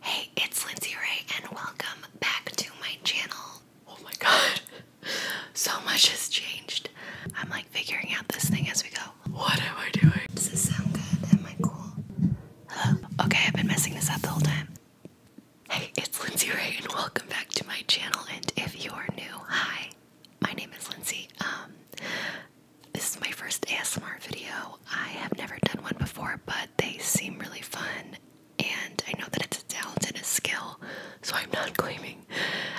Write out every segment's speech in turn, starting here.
Hey, it's Lindsay Ray, and welcome back to my channel. Oh my god, so much has changed. I'm like figuring out this thing as we go. What am I doing? Does this sound good? Am I cool? Hello? Okay, I've been messing this up the whole time. Hey, it's Lindsay Ray, and welcome back to my channel. And if you're new, hi, my name is Lindsay. Um, this is my first ASMR video. I have never done one before, but they seem really fun. And I know that it's a talent and a skill, so I'm not claiming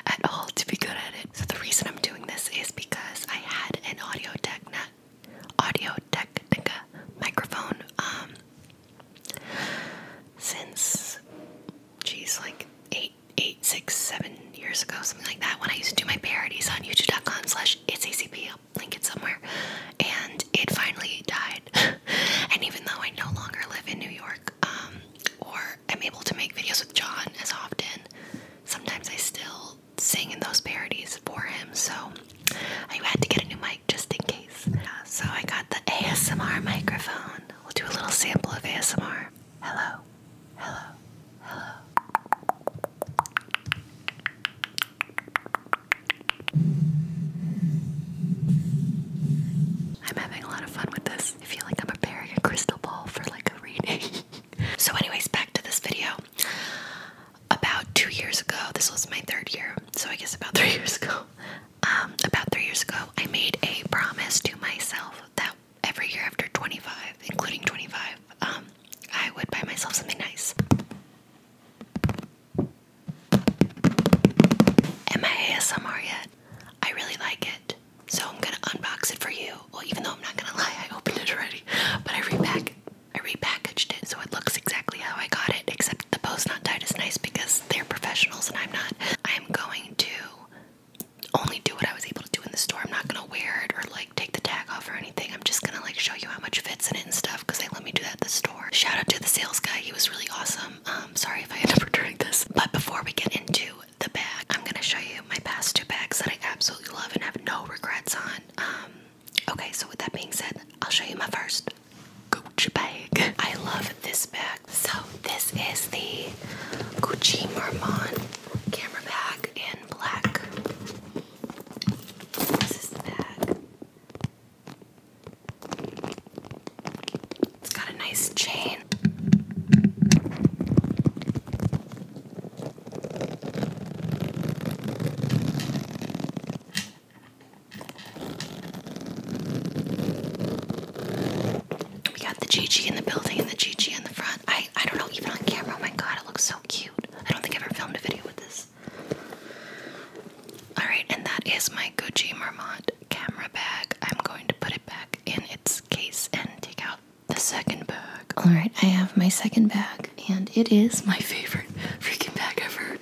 at all to be good at it. So the reason I'm doing this is because I had an Audio Technica, Audio Technica microphone um, since, geez, like eight, eight, six, seven years ago, something like that. When I used to do my parodies on YouTube.com/slash/it's ACP, up, somewhere. And it finally died. and even though I no longer live in New York, um, or I'm able to make videos with John as often, sometimes I still sing in those parodies for him. So I had to get a new mic just in case. so I got the ASMR microphone. We'll do a little sample of ASMR. Hello, hello, hello. I'm having a lot of fun with this. I feel like I'm preparing a crystal ball for like a reading. so, anyways, back to this video. About two years ago, this was my third year, so I guess about three years ago. Um, about three years ago, I made a promise to myself that every year after 25, including 25, um, I would buy myself something nice. Am I ASMR yet? I really like it. So I'm gonna unbox it for you. Well, even though I'm not gonna lie, I opened it already. But I repack I repackaged it so it looks exactly how I got it, except the post not tied is nice because they're professionals and I'm not. I'm going to only do what I was able to do in the store. I'm not gonna wear it or like take the tag off or anything. I'm just gonna like show you how much fits in and stuff because they let me do that at the store. Shout out to the sales guy, he was really awesome. Um, sorry if I end up returning this. But before we get into the bag, I'm gonna show you my past two bags that I absolutely love and have no regrets on. Um, okay, so with that being said, I'll show you my first Gucci bag. I love this bag. So this is the Gucci Marmont camera bag in black. This is the bag. It's got a nice chain. We got the GG in the building and the GG in the front. I I don't know even on camera. Oh my god, it looks so cute. I don't think I've ever filmed a video with this. Alright, and that is my Gucci Marmont camera bag. I'm going to put it back in its case and take out the second bag. Alright, I have my second bag, and it is my favorite freaking bag ever.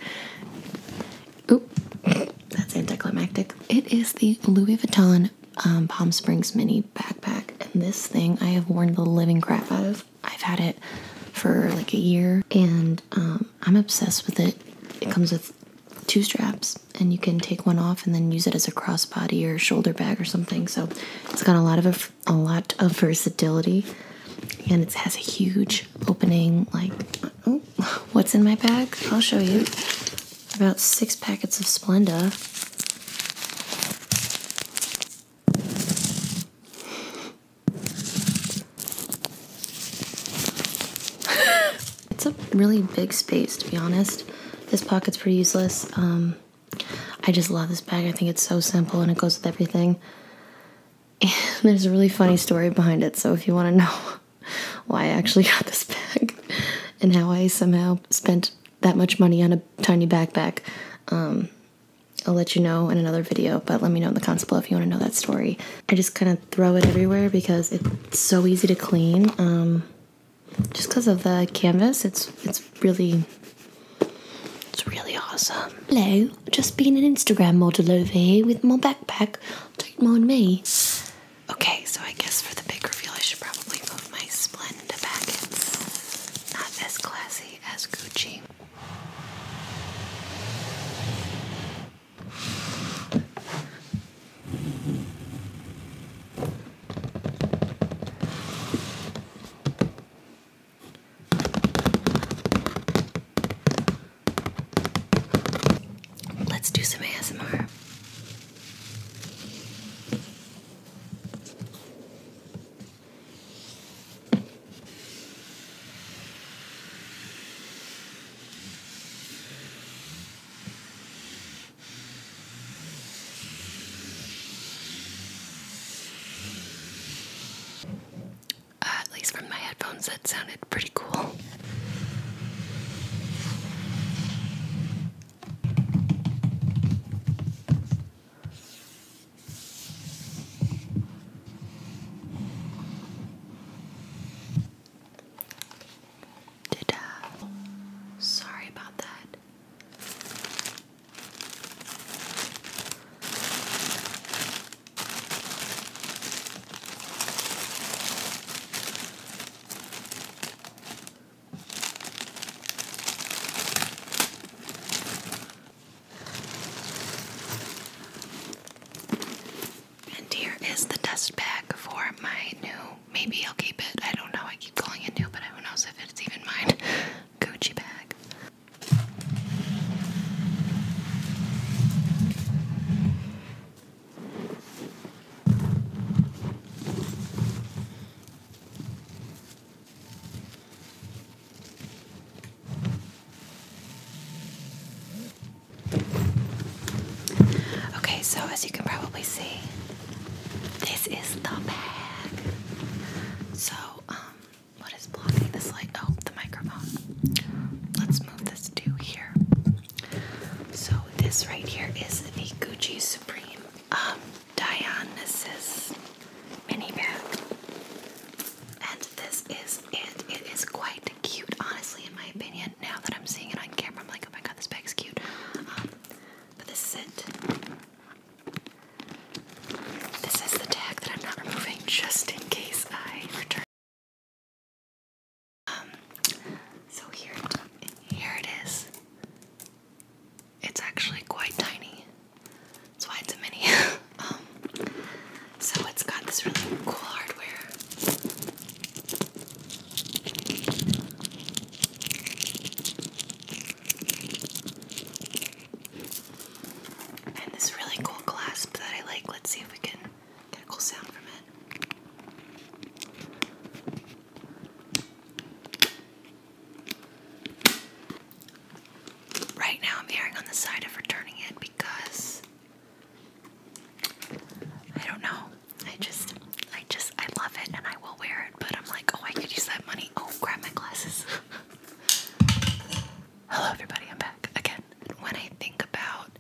Oop, that's anticlimactic. It is the Louis Vuitton um, Palm Springs mini backpack, and this thing I have worn the living crap out of I've had it for like a year and um, I'm obsessed with it. It comes with two straps and you can take one off and then use it as a crossbody or shoulder bag or something. So it's got a lot of a, lot of versatility and it has a huge opening like oh, what's in my bag? I'll show you. About 6 packets of Splenda. it's a really big space, to be honest. This pocket's pretty useless. Um, I just love this bag. I think it's so simple and it goes with everything. And there's a really funny story behind it, so if you want to know why I actually got this bag and how I somehow spent that much money on a tiny backpack, um, I'll let you know in another video, but let me know in the comments below if you want to know that story. I just kind of throw it everywhere because it's so easy to clean. Um, just because of the canvas, it's it's really it's really awesome. Hello, just being an Instagram model over here with my backpack. Don't mind me. Okay, so I guess for the big reveal, I should probably move my Splenda back. It's not as classy as Gucci. Let's do some ASMR. Uh, at least from my headphones, that sounded pretty cool. Did uh sorry about that. And here is the dust bag for my new, maybe I'll keep it, I don't know, I keep calling it new, but who knows if it's even mine, Gucci bag. Okay, so as you can probably see, this is the bag. So, um, what is blocking this light? Oh, the microphone. Let's move this to here. So, this right here is the Gucci Supreme um, Dionysus mini bag. And this is it. It is quite cute, honestly, in my opinion. Now that I'm seeing it on camera, I'm like, oh my god, this bag's cute. Um, but this is it. This is the tag that I'm not removing just in case I return. Um, so here here it is. It's actually quite tiny. That's why it's a mini. Um, so it's got this really cool hardware. And this really cool clasp that I like. Let's see if we can get a cool sound from it. Right now, I'm erring on the side of returning it because I don't know. I just, I just, I love it and I will wear it, but I'm like, oh, I could use that money. Oh, grab my glasses. Hello, everybody. I'm back again. When I think about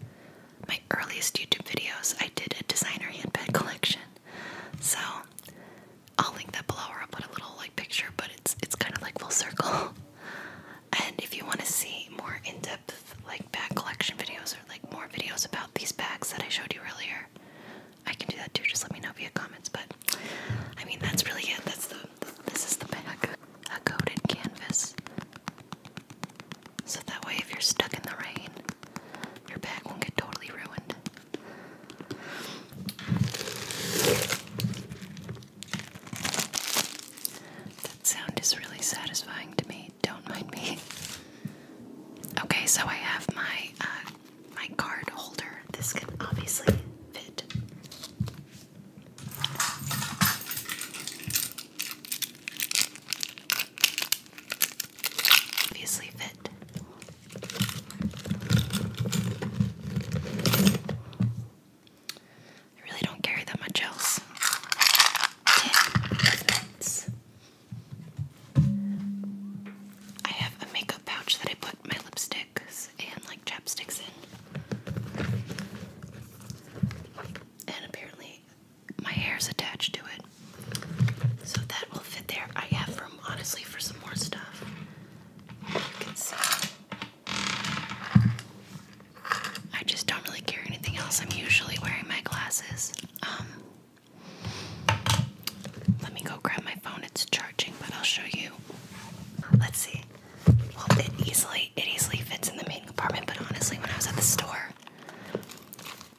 my earliest YouTube videos, I did a designer handbag collection. So I'll link that below, or I'll put a little like picture, but it's it's kind of like full circle. And if you want to see more in-depth like bag collection videos or like more videos about these bags that I showed you earlier, I can do that too. Just let me know via comments. But I mean, that's really it. That's the this is the bag, a coated canvas. So that way, if you're stuck in the rain, your bag won't get totally ruined. That sound is really satisfying to me. Don't mind me. Okay, so I have my uh, my card holder. This can obviously fit. Obviously fit. I really don't carry that much else. I have a makeup pouch that I put my lipsticks and like chapsticks in. And apparently my hair is attached to it. So that will fit there. I have room honestly for some more stuff. I just don't really care anything else. I'm usually wearing my glasses. Um, let me go grab my phone. It's charging, but I'll show you. Let's see. Well, it easily it easily fits in the main compartment. But honestly, when I was at the store,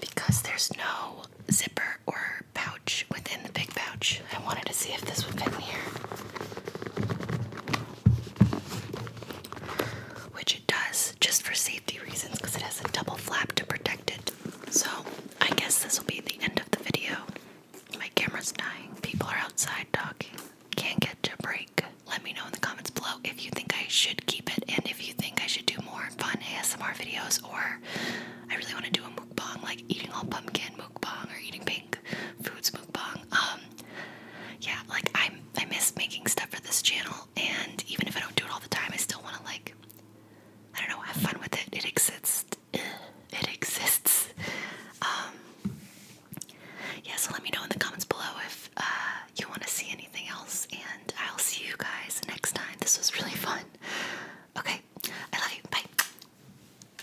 because there's no zipper or pouch within the big pouch, I wanted to see if this would fit here. Which it does just for safety reasons because it has a double flap to protect it. So I guess this will be the end of the video. My camera's dying, people are outside talking, can't get a break. Let me know in the comments below if you think I should keep it and if you think I should do more fun ASMR videos or I really want to do a mukbang like eating all pumpkin mukbang or eating pink Food foods mukbang. Um, yeah, like I I miss making stuff for this channel, and even if I don't do it all the time, I still want to like I don't know have fun with it. It exists. It exists. Um, yeah, so let me know in the comments below if uh, you want to see anything else, and I'll see you guys next time. This was really fun. Okay, I love you. Bye.